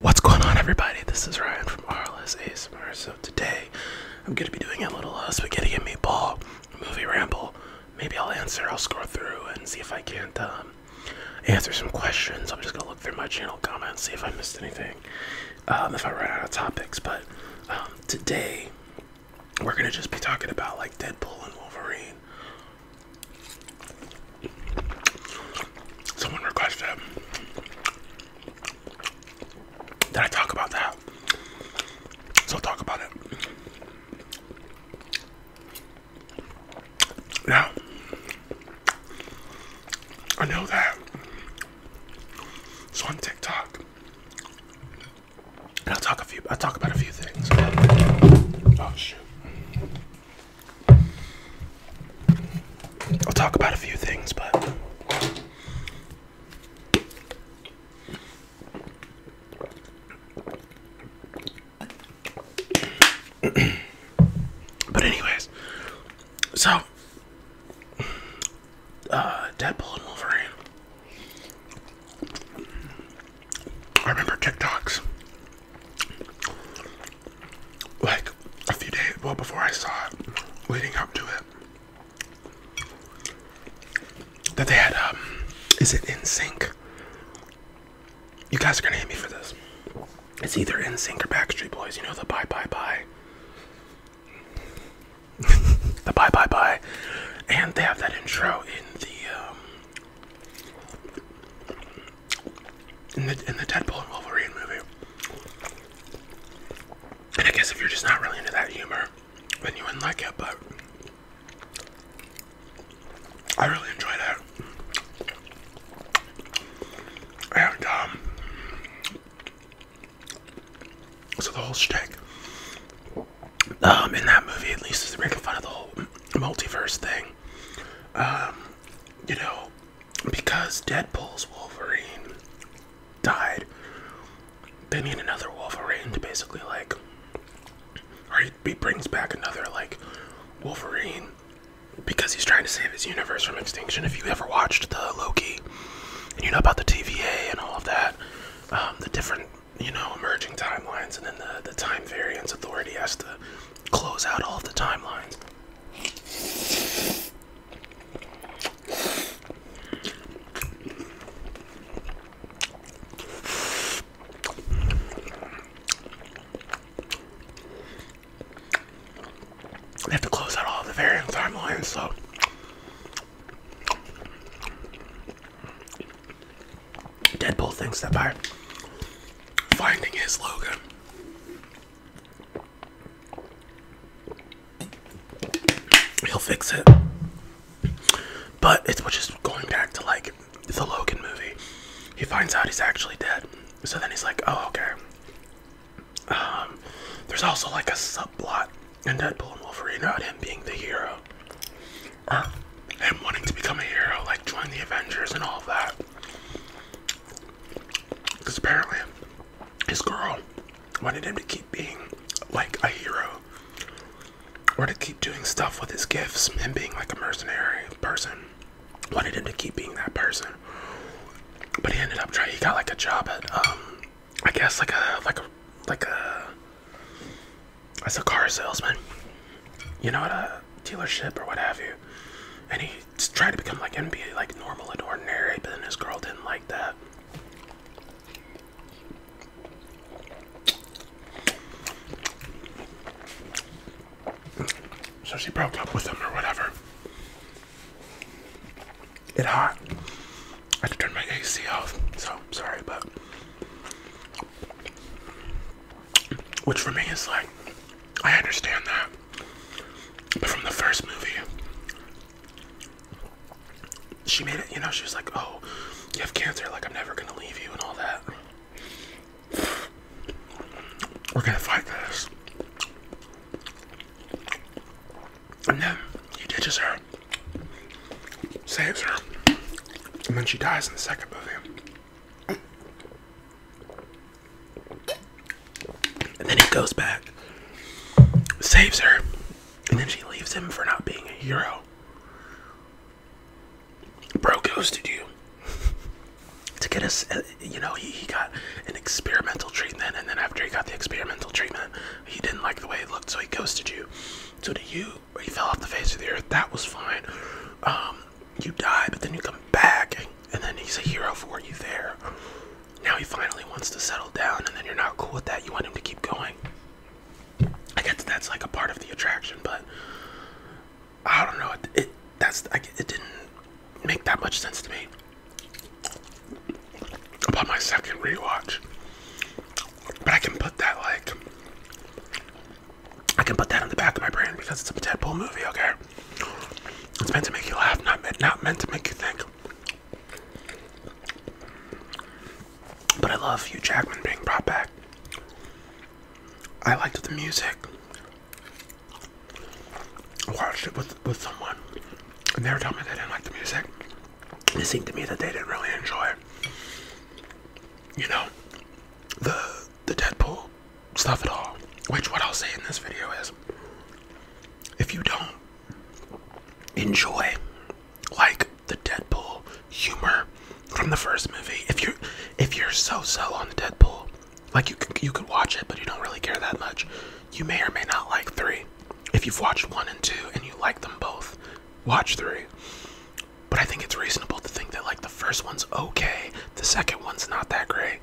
What's going on everybody? This is Ryan from RLSASMR. So today I'm gonna be doing a little uh, spaghetti and meatball movie ramble. Maybe I'll answer, I'll scroll through and see if I can't um, answer some questions. I'm just gonna look through my channel comments, see if I missed anything, um, if I run out of topics. But um, today we're gonna just be talking about like Deadpool and Wolverine. Someone requested that I talk about that. So will talk about it. Now, I know that so on TikTok, i talk a few. i talk about a few things. Oh shoot! I'll talk about a few things, but but anyways, so uh, Deadpool and Wolverine. I remember TikToks like a few days well before I saw it, leading up to it, that they had um, is it in sync? You guys are gonna hate me for this. It's either in sync or Backstreet Boys. You know the bye bye bye, the bye bye bye, and they have that intro in the. Um, in the in the Deadpool and Wolverine movie. And I guess if you're just not really into that humor, then you wouldn't like it, but I really enjoy that, And um so the whole shtick um in that movie at least is making fun of the whole multiverse thing. Um, you know, because Deadpool's Wolverine died, they need another Wolverine to basically like, or he, brings back another like Wolverine because he's trying to save his universe from extinction. If you ever watched the Loki, and you know about the TVA and all of that, um, the different you know emerging timelines, and then the the time variance authority has to close out all the timelines. We have to close out all the varying timelines, so Deadpool thinks that by finding his Logan, He'll fix it. But it's just going back to like the Logan movie. He finds out he's actually dead. So then he's like, oh, okay. Um, there's also like a subplot in Deadpool and Wolverine about him being the hero. and wanting to become a hero, like join the Avengers and all of that. Because apparently his girl wanted him to keep being like a hero or to keep doing stuff with his gifts and being like a mercenary person. Wanted him to keep being that person. But he ended up trying he got like a job at um I guess like a like a like a as a car salesman. You know at a dealership or what have you. And he tried to become like NBA, like normal and ordinary, but then his girl didn't like that. So she broke up with him or whatever. It hot. I had to turn my AC off, so sorry, but which for me is like I understand that. But from the first movie, she made it, you know, she was like, oh, you have cancer, like, I'm never gonna leave you and all that. We're gonna fight this. And then he ditches her, saves her, and then she dies in the second movie. And then he goes back, saves her, and then she leaves him for not being a hero. Bro ghosted you. to get us, uh, you know, he, he got an experimental treatment, and then after he got the experimental treatment, he didn't like the way it looked, so he ghosted you. So to you, he fell off the face of the earth. That was fine. Um, you die, but then you come back and then he's a hero for you there. Now he finally wants to settle down, and then you're not cool with that. You want him to keep going. I guess that's like a part of the attraction, but I don't know. It, that's it didn't make that much sense to me. About my second rewatch, but I can put that like I can put that in the back of my brain because it's a Deadpool movie. Okay. It's meant to make you laugh, not meant, not meant to make you think. But I love Hugh Jackman being brought back. I liked the music. I watched it with, with someone, and they were telling me they didn't like the music. It seemed to me that they didn't really enjoy You know, the the Deadpool stuff at all. Which what I'll say in this video is if you don't enjoy like the Deadpool humor from the first movie, if you if you're so so on the Deadpool, like you you could watch it but you don't really care that much, you may or may not like three. If you've watched one and two and you like them both, watch three. But I think it's reasonable to think that like the first one's okay, the second one's not that great,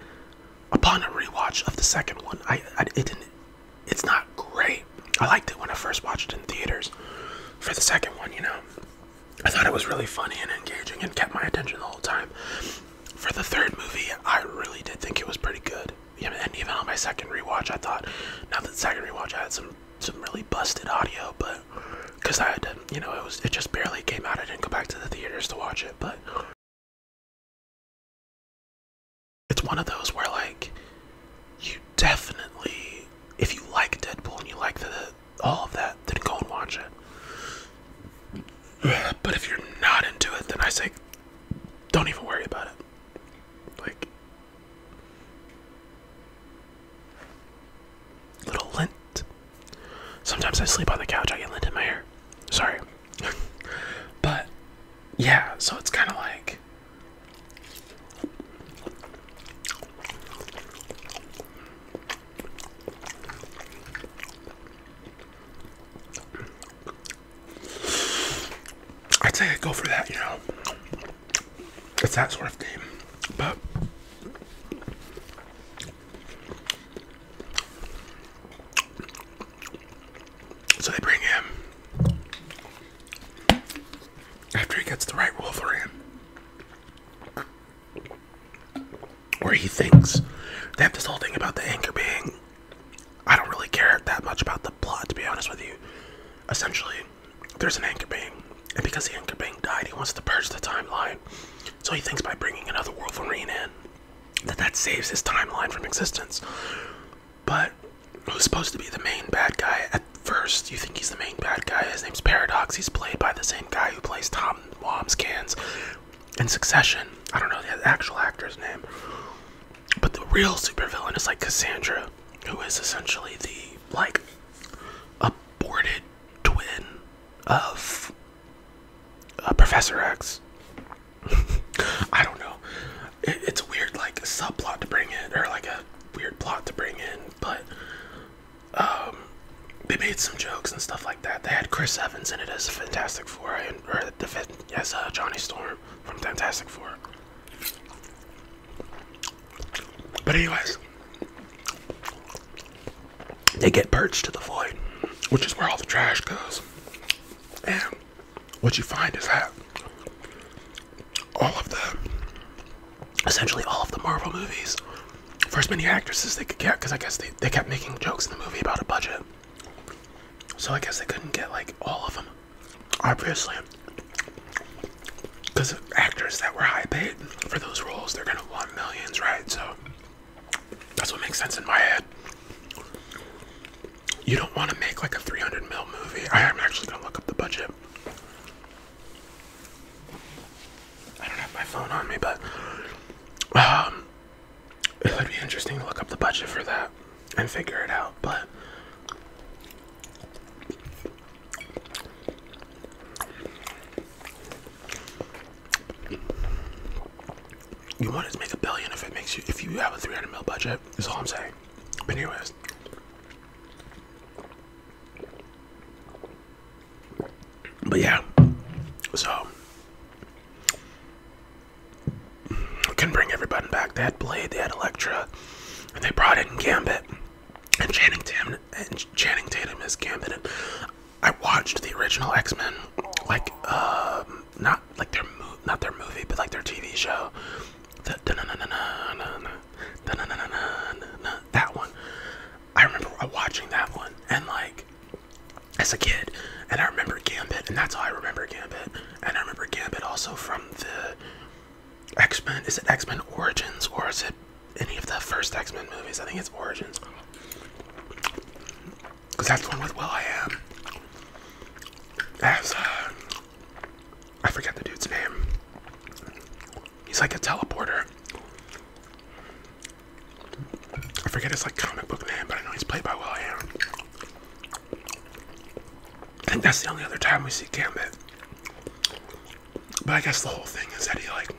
upon a rewatch of the second one, I, it didn't. It's not great. I liked it when I first watched it in theaters. For the second one, you know, I thought it was really funny and engaging and kept my attention the whole time. For the third movie, I really did think it was pretty good. And even on my second rewatch, I thought, now that second rewatch, I had some some really busted audio, but because I had to, you know, it was it just barely came out. I didn't go back to the theaters to watch it, but it's one of those where, like, you definitely, if you like Deadpool and you like the, all of that, then go and watch it. But if you're not into it, then I say, don't even worry about it. Like, little lint. Sometimes I sleep on the couch, I get lint in my hair. Sorry but yeah, so it's kind of like I'd say I'd go for that, you know. It's that sort of game, but. So they bring him after he gets the right role Where he thinks they have this whole thing about the anchor being. I don't really care that much about the plot, to be honest with you. Essentially, there's an anchor being, and because the anchor being died, he wants to purge the timeline. So he thinks by bringing another Wolverine in, that that saves his timeline from existence. But who's supposed to be the main bad guy at first? You think he's the main bad guy? His name's Paradox. He's played by the same guy who plays Tom Wamscans in Succession. I don't know the actual actor's name. But the real supervillain is like Cassandra, who is essentially the like aborted twin of uh, Professor X. I don't know. it's a weird like subplot to bring in, or like a weird plot to bring in, but um, they made some jokes and stuff like that. They had Chris Evans in it as Fantastic Four, and, as uh, Johnny Storm from Fantastic Four. But anyways, they get perched to the void, which is where all the trash goes. And what you find is that all of the, essentially all of the Marvel movies, first as many actresses they could get, because I guess they, they kept making jokes in the movie about a budget. So I guess they couldn't get like all of them, obviously. Because actors that were high paid for those roles, they're gonna want millions, right? So that's what makes sense in my head you don't want to make like a 300 mil movie. I am actually going to look up the budget. I don't have my phone on me, but um, it would be interesting to look up the budget for that and figure it out. But you want to make a billion if it makes you if you have a 300 mil budget that's all i'm saying but anyways but yeah so can bring everybody back they had blade they had Elektra, and they brought in gambit and channing tatum and channing tatum is gambit i watched the original x-men like um, not like their mo not their movie, but like their TV show. that one. I remember watching that one and like as a kid, and I remember Gambit, and that's how I remember Gambit. And I remember Gambit also from the X-Men. Is it X-Men Origins or is it any of the first X-Men movies? I think it's Origins because that's the one with Will I Am. As uh, I forget the dude's name. He's like a teleporter. I forget his like comic book name, but I know he's played by Will I Am. I think that's the only other time we see Gambit. But I guess the whole thing is that he like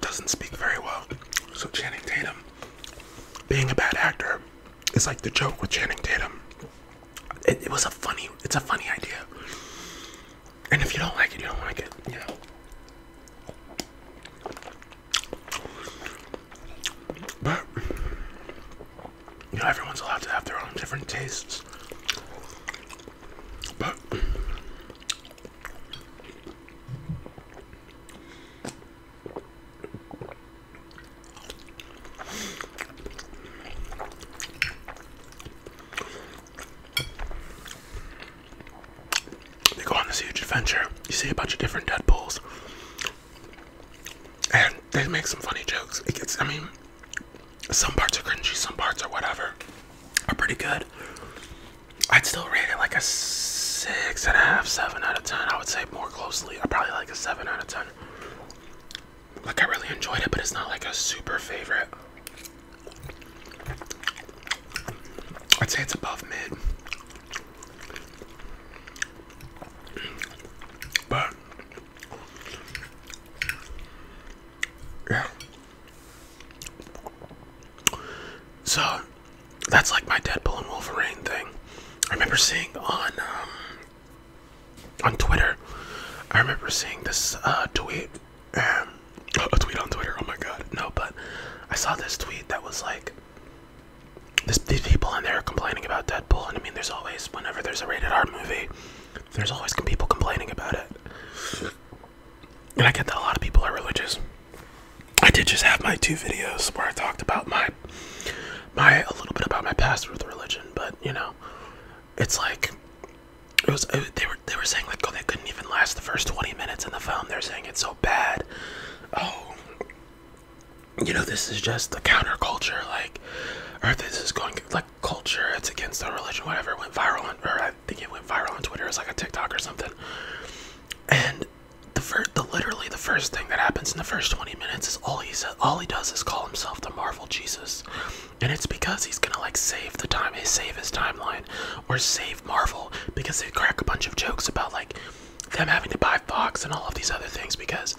doesn't speak very well. So Channing Tatum, being a bad actor, it's like the joke with Channing Tatum. It, was a funny. It's a funny idea. And if you don't like it, you don't like it. Yeah. But you know, everyone's allowed to have their own different tastes. But they go on this huge adventure. You see a bunch of different Deadpools. And they make some funny jokes. It gets, I mean, some parts are cringy, some parts are whatever, are pretty good. I'd still rate it like a six and a half, seven out of ten. I would say more closely, probably like a seven out of ten. Like I really enjoyed it, but it's not like a super favorite. I'd say it's above mid. But yeah. So that's like my Deadpool and Wolverine thing. I remember seeing on um, on Twitter. I remember seeing this uh, tweet, um, a tweet on Twitter. Oh my god, no! But I saw this tweet that was like, this, these people in there complaining about Deadpool, and I mean, there's always whenever there's a rated R movie, there's always people complaining about it. And I get that a lot of people are religious. I did just have my two videos where I talked about my my a little bit about my past with religion, but you know, it's like it was they were they were saying like oh they couldn't even last the first 20 minutes in the film. They're saying it's so bad. Oh, you know this is just the counterculture like or this is going like culture it's against the religion whatever went viral on or i think it went viral on twitter it's like a tiktok or something and the first, the literally the first thing that happens in the first 20 minutes is all he all he does is call himself the Marvel Jesus, and it's because he's gonna like save the time, eh, save his timeline, or save Marvel because they crack a bunch of jokes about like them having to buy Fox and all of these other things because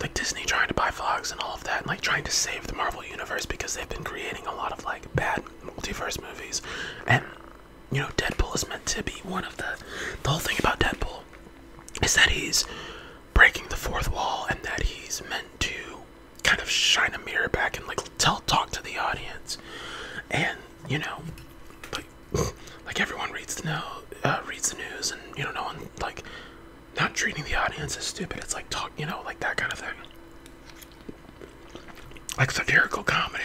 like Disney trying to buy Fox and all of that, and like trying to save the Marvel universe because they've been creating a lot of like bad multiverse movies, and you know Deadpool is meant to be one of the the whole thing about Deadpool is that he's breaking the fourth wall and that he's meant to kind of shine a mirror back and like tell talk to the audience and you know like like everyone reads the uh, reads the news and you know no one like not treating the audience as stupid it's like talk you know like that kind of thing like satirical comedy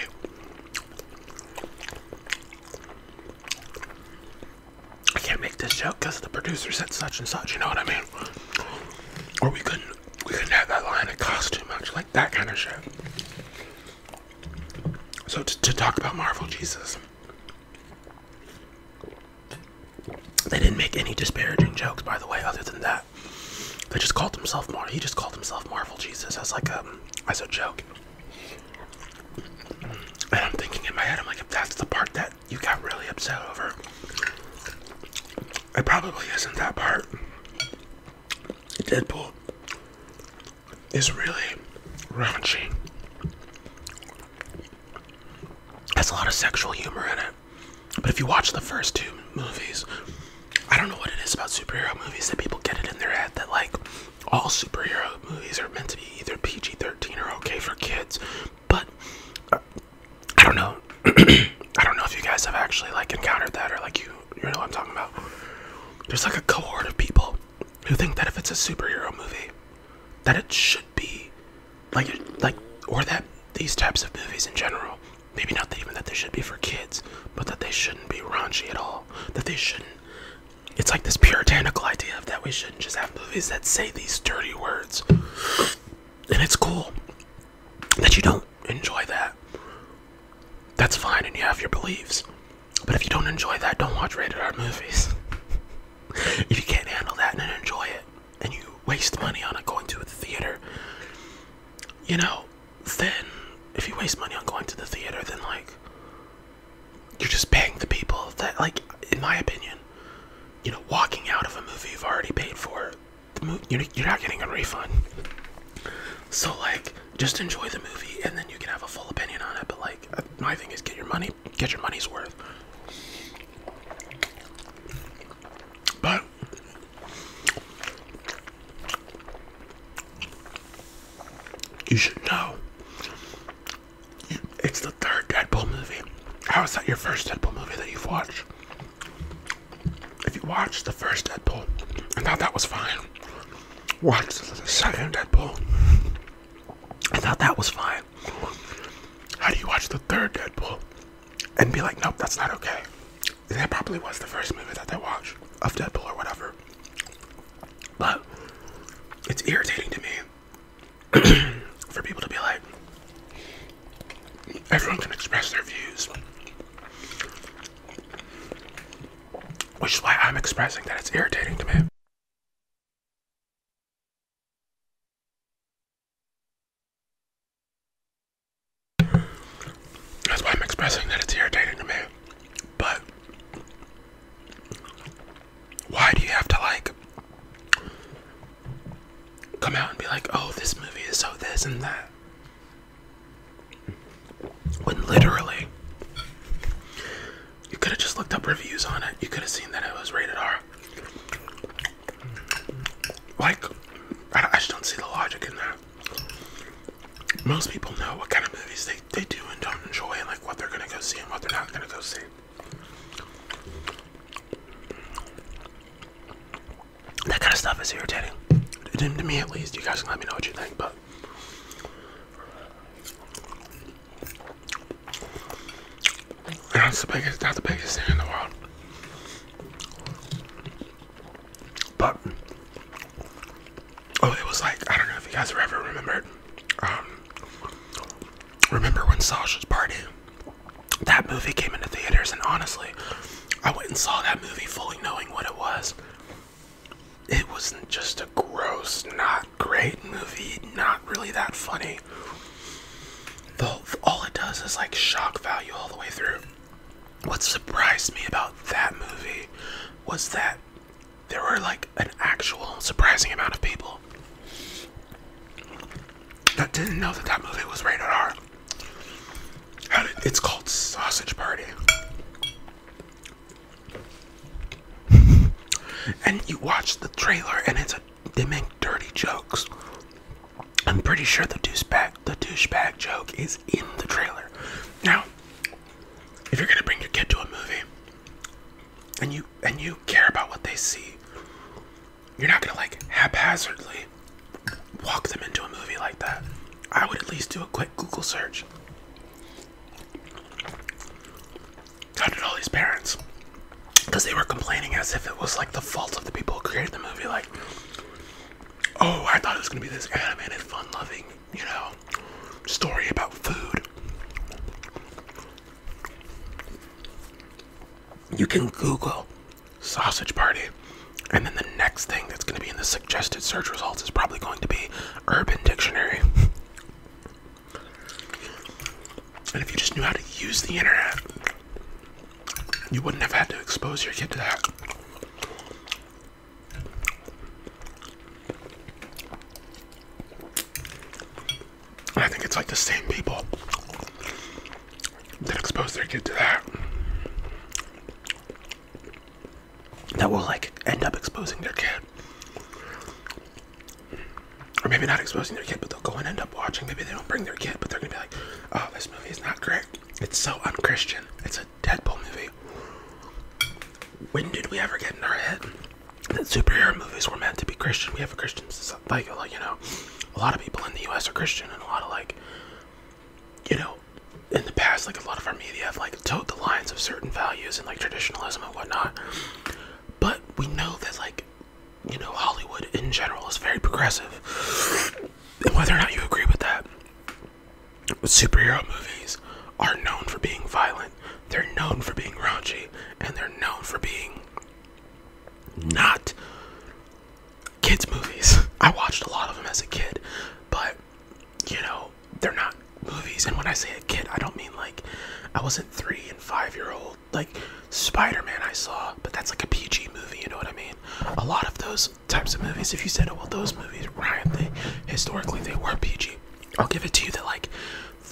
I can't make this joke because the producer said such and such, you know what I mean? Or we couldn't we couldn't have that line, it cost too much, like that kind of shit. So to, talk about Marvel Jesus. They didn't make any disparaging jokes, by the way, other than that. They just called himself Mar he just called himself Marvel Jesus as like um as a joke. And I'm thinking in my head, I'm like, if that's the part that you got really upset over, it probably isn't that part. Deadpool is really raunchy. Has a lot of sexual humor in it. But if you watch the first two movies, I don't know what it is about superhero movies that people get it in their head that like all superhero movies are meant to be either PG 13 or okay for kids, but uh, I don't know. I don't know if you guys have actually like encountered that or like you you know what I'm talking about. There's like a cohort of people who think that if it's a superhero movie, that it should be like like or that these types of movies in general, maybe not even that they should be for kids, but that they shouldn't be raunchy at all. That they shouldn't it's like this puritanical idea of that we shouldn't just have movies that say these dirty words. And it's cool that you don't enjoy that. That's fine, and you have your beliefs. But if you don't enjoy that, don't watch rated R movies. if you can't handle that and enjoy it, and you waste money on going to the theater, you know, then if you waste money on going to the theater, then like you're just paying the people that, like, in my opinion, you know, walking out of a movie you've already paid for, you're not getting a refund. So, like, just enjoy the movie and then you can have a full opinion on it. But, like, uh, my thing is get your money, get your money's worth. But, you should know it's the third Deadpool movie. How is that your first Deadpool movie that you've watched? If you watched the first Deadpool I thought that was fine, Watched the second Deadpool I thought that was fine. How do you watch the third Deadpool and be like, nope, that's not okay? That probably was the first movie that they watched of Deadpool or whatever. But it's irritating to me for people to be like, everyone can express their views. Which is why I'm expressing that it's irritating to me. That's why I'm expressing that it's irritating to me. But why do you have to like come out and be like, oh, this movie is so this and that? When literally, you could have just looked up reviews on it, you could have seen that it was rated R. Like, I, just don't see the logic in that. Most people know what kind of movies they, they do and don't enjoy, and like what they're gonna go see and what they're not gonna go see. That kind of stuff is irritating. To me, at least. You guys can let me know what you think, but. That's the biggest, not the biggest thing in the world. But, oh, it was like, I don't know if you guys ever remembered, um, Remember when Sasha's Party? That movie came into theaters, and honestly, I went and saw that movie fully knowing what it was. It was not just a gross, not great movie, not really that funny. all it does is like shock value all the way through. What surprised me about that movie was that there were like an actual surprising amount of people that didn't know that that movie was rated R. It's called Sausage Party. and you watch the trailer and it's a they make dirty jokes. I'm pretty sure the douchebag the douchebag joke is in the trailer. Now, if you're gonna bring your kid to a movie and you and you care about what they see, you're not gonna like haphazardly walk them into a movie like that. I would at least do a quick Google search. How did all these parents? Because they were complaining as if it was like the fault of the people who created the movie. Like, oh, I thought it was gonna be this animated, fun loving, you know, story about food. You can Google sausage party, and then the next thing that's going to be in the suggested search results is probably going to be Urban Dictionary. and if you just knew how to use the internet, you wouldn't have had to expose your kid to that. I think it's like the same people that expose their kid to that that will like end up exposing their kid. Or maybe not exposing their kid, but they'll go and end up watching. Maybe they don't bring their kid, but they're gonna be like, oh, this movie is not great. It's so unchristian. It's a Deadpool movie. When did we ever get in our head that superhero movies were meant to be Christian. We have a Christian like you know, a lot of people in the U.S. are Christian, and a lot of like, you know, in the past, like a lot of our media have like towed the lines of certain values and like traditionalism and whatnot. But we know that like, you know, Hollywood in general is very progressive, and whether or not you agree with that, superhero movies are known for being violent. They're known for being raunchy, and they're known for being not kids' movies. I watched a lot of them as a kid, but you know, they're not movies. And when I say a kid, I don't mean like I wasn't three and five year old. Like Spider Man, I saw, but that's like a PG movie, you know what I mean? A lot of those types of movies, if you said, oh, well, those movies, Ryan, they historically they were PG. I'll give it to you that, like,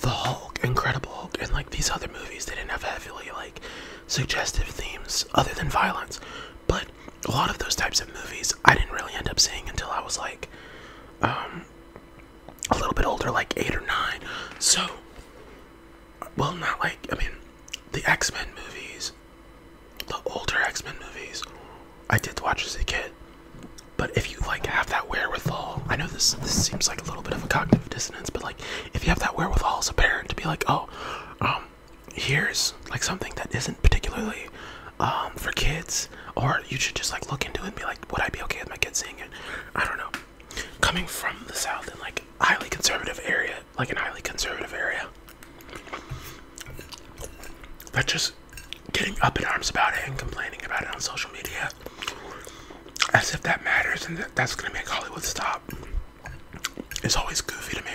the Hulk, Incredible Hulk, and like these other movies, they didn't have heavily like suggestive themes other than violence. But a lot of those types of movies I didn't really end up seeing until I was like um, a little bit older, like eight or nine. So, well, not like, I mean, the X Men movies, the older X Men movies, I did watch as a kid. But if you like have that wherewithal, I know this this seems like a little bit of a cognitive dissonance but like if you have that wherewithal as a parent to be like, oh, um, here's like something that isn't particularly um for kids, or you should just like look into it and be like, would I be okay with my kids seeing it? I don't know. Coming from the south in like highly conservative area, like an highly conservative area. but just getting up in arms about it and complaining about it on social media as if that matters and that's gonna make Hollywood stop. It's always goofy to me.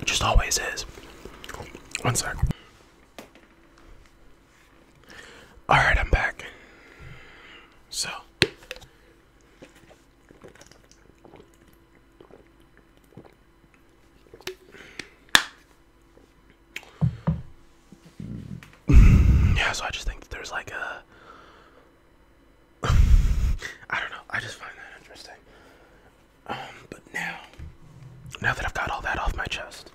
It just always is. One sec. Alright, I'm back. So, yeah, so I just think that there's like a. I don't know. I just find that interesting. Um, but now, now that I've got all that off my chest,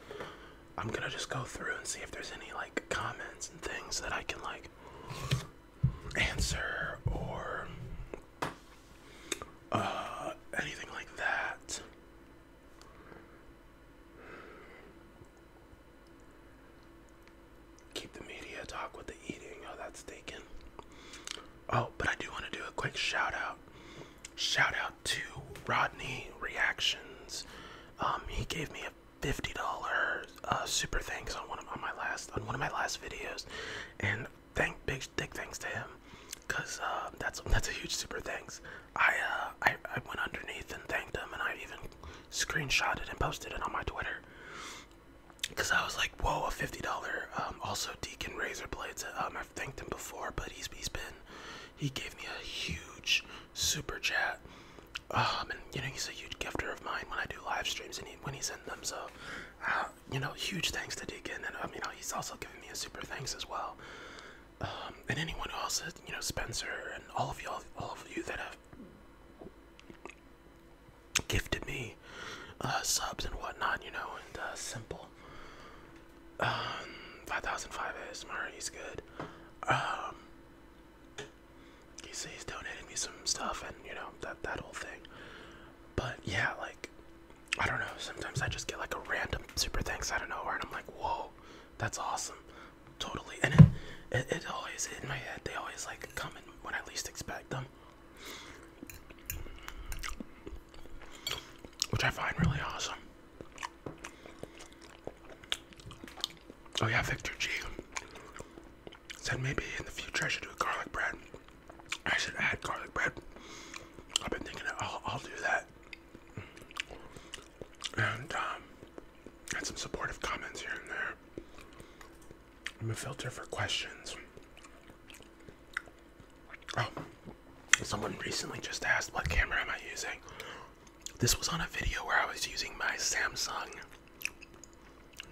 I'm gonna just go through and see if there's any like comments and things that I can like answer or uh, anything like that. Keep the media talk with the eating. Oh, that's taken. Oh, but I do want to do a quick shout out. Shout out to Rodney Reactions. Um, he gave me a $50 for uh, super thanks on one of on my last on one of my last videos, and thank big big thanks to him, cause uh, that's that's a huge super thanks. Uh, I I, went underneath and thanked him, and I even screenshotted and posted it on my Twitter, cause I was like, whoa, a fifty dollar. Um, also Deacon Razor Blades. Um, I've thanked him before, but he's he's been he gave me a huge super chat. Um, and you know he's a huge gifter of mine when I do live streams and he, when he's in them. So you know, huge thanks to Deacon, and um, you know, he's also given me a super thanks as well. Um, and anyone who else, uh, you know, Spencer and all of you, all, all of you that have gifted me uh, subs and whatnot, you know, and uh, simple. Um, 5005 ASMR, he's good. Um, he's, he's donating me some stuff, and you know, that, that whole thing. But yeah, like I don't know. Sometimes I just get like a random super thanks out of nowhere, and I'm like, whoa, that's awesome, totally. And it, it, always in my head. They always like come in when I least expect them, which I find really awesome. Oh yeah, Victor G said maybe in the future I should do a garlic bread. I should add garlic bread. I've been thinking I'll, I'll do that. And um, and some supportive comments here and there. I'm a filter for questions. Oh, someone recently just asked what camera am I using. This was on a video where I was using my Samsung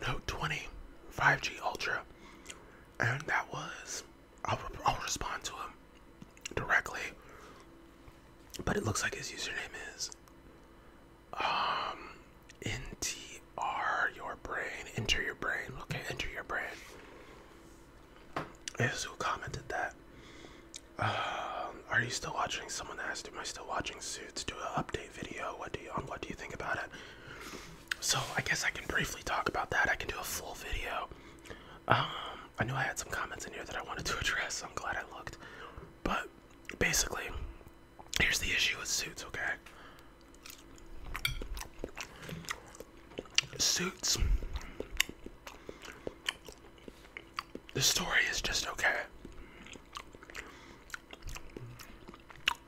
Note 20 5G Ultra, and that was I'll, I'll respond to him directly, but it looks like his username is um NTR your brain enter your brain okay enter your brain is who commented that. Um, are you still watching? Someone asked, "Am I still watching Suits? Do an update video. What do you on? What do you think about it?" So I guess I can briefly talk about that. I can do a full video. Um, I knew I had some comments in here that I wanted to address. I'm glad I looked. But basically, here's the issue with suits. Okay, suits. The story is just okay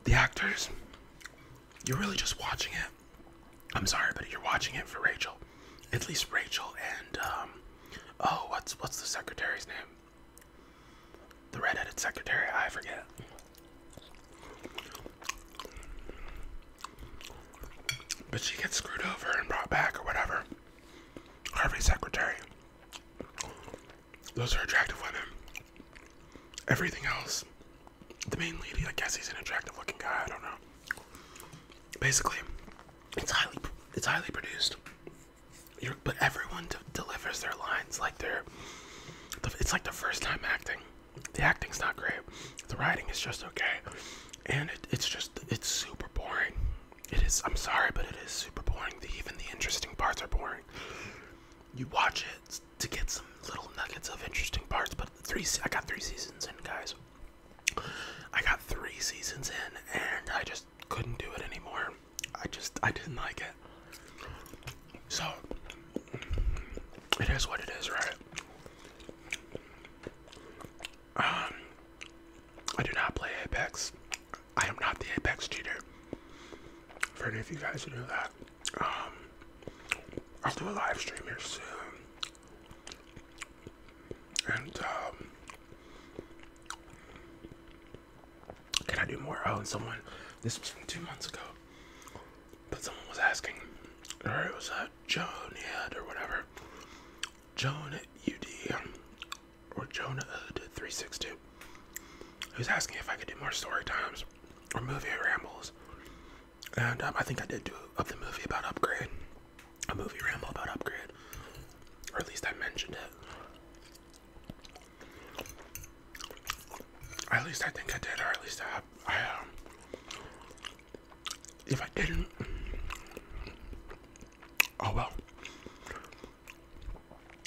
the actors, you're really just watching it. I'm sorry, but you're watching it for Rachel. At least Rachel and um oh what's what's the secretary's name? The redheaded secretary, I forget. But she gets screwed over and brought back or whatever. Harvey's secretary. Those are attractive women. Everything else, the main lady, I guess he's an attractive looking guy, I don't know. Basically, it's highly it's highly produced. but everyone delivers their lines like they're it's like the first time acting. The acting's not great. The writing is just okay. And it's just it's super boring. It is I'm sorry, but it is super boring. even the interesting parts are boring you watch it to get some little nuggets of interesting parts. But three, I got three seasons in, guys. I got three seasons in, and I just couldn't do it anymore. I just I didn't like it. So it is what it is, right? Um, I do not play Apex. I am not the Apex cheater. For any of you guys who know that. Um, I'll do a live stream here soon. And, um, can I do more? Oh, and someone, this was from two months ago, but someone was asking, or it was a uh, Joan Ed or whatever. Joan UD um, or Jonah 362 who's asking if I could do more story times rambles or movie rambles and um, i think i did do of the movie about upgrade a movie ramble about upgrade or at least i mentioned it at least i think i did or at least i have i um if i didn't oh well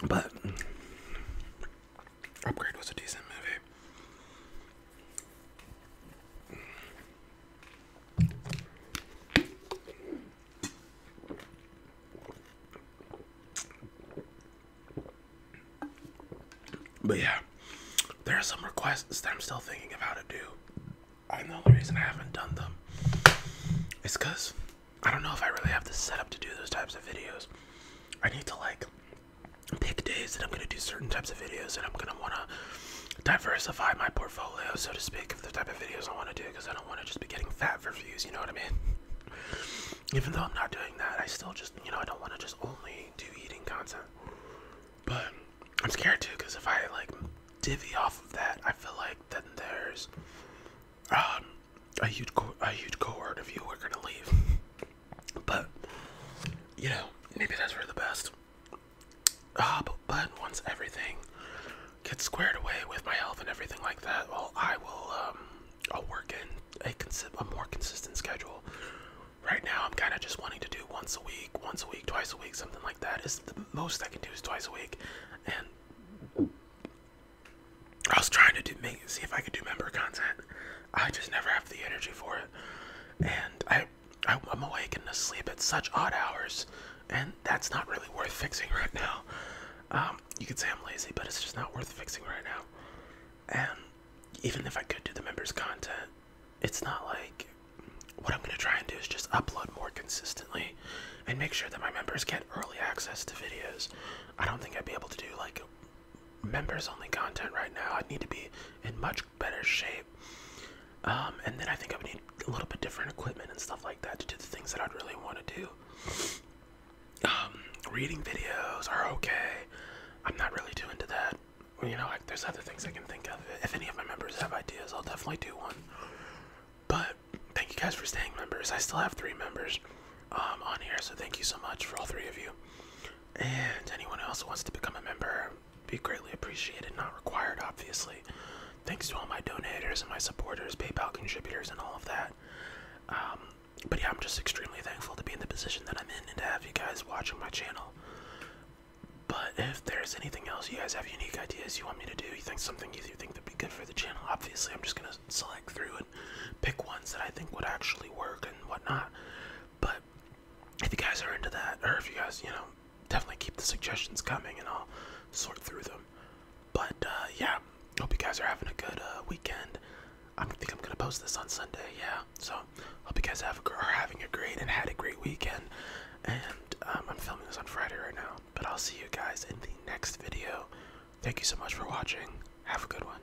but Upgrade was a decent movie. But yeah, there are some requests that I'm still thinking of how to do. And the only reason I haven't done them is because I don't know if I really have the setup to do those types of videos. I need to like pick days that I'm gonna do certain types of videos, and I'm gonna wanna diversify my portfolio, so to speak, of the type of videos I wanna do, because I don't wanna just be getting fat for views, you know what I mean? Even though I'm not doing that, I still just, you know, I don't wanna just only do eating content. But I'm scared too, because if I like divvy off of that, I feel like then there's um, a huge co a huge cohort of you who are gonna leave. But you know, maybe that's for the best. Uh, but, once everything gets squared away with my health and everything like that, well, I will. Um, I'll work in a, consi a more consistent schedule. Right now, I'm kind of just wanting to do once a week, once a week, twice a week, something like that. Is the most I can do is twice a week, and I was trying to do see if I could do member content. I just never have the energy for it. And I, I am awake and asleep at such odd hours, and that's not really worth fixing right now. Um, you could say I'm lazy, but it's just not worth fixing right now. And even if I could do the members content, it's not like what I'm gonna try and do is just upload more consistently and make sure that my members get early access to videos. I don't think I'd be able to do like members only content right now. i need to be in much better shape. Um, and then I think I would need a little bit different equipment and stuff like that to do the things that I'd really want to do. Um, reading videos are okay. I'm not really too into that. You know, like there's other things I can think of. If any of my members have ideas, I'll definitely do one. But thank you guys for staying members. I still have three members um, on here, so thank you so much for all three of you. And anyone else who wants to become a member, be greatly appreciated, not required, obviously. Thanks to all my donors and my supporters, PayPal contributors, and all of that. Um, but yeah, I'm just extremely thankful to be in the position that I'm in and to have you guys watching my channel. But if there's anything else you guys have unique ideas you want me to do, you think something you think would be good for the channel, obviously I'm just gonna select through it pick ones that I think would actually work and whatnot. But if you guys are into that, or if you guys, you know, definitely keep the suggestions coming and I'll sort through them. But uh, yeah, hope you guys are having a good uh, weekend. I think I'm gonna post this on Sunday, yeah. So hope you guys have are having a great and had a great weekend. And um, I'm filming this on Friday right now, but I'll see you guys in the next video. Thank you so much for watching. Have a good one.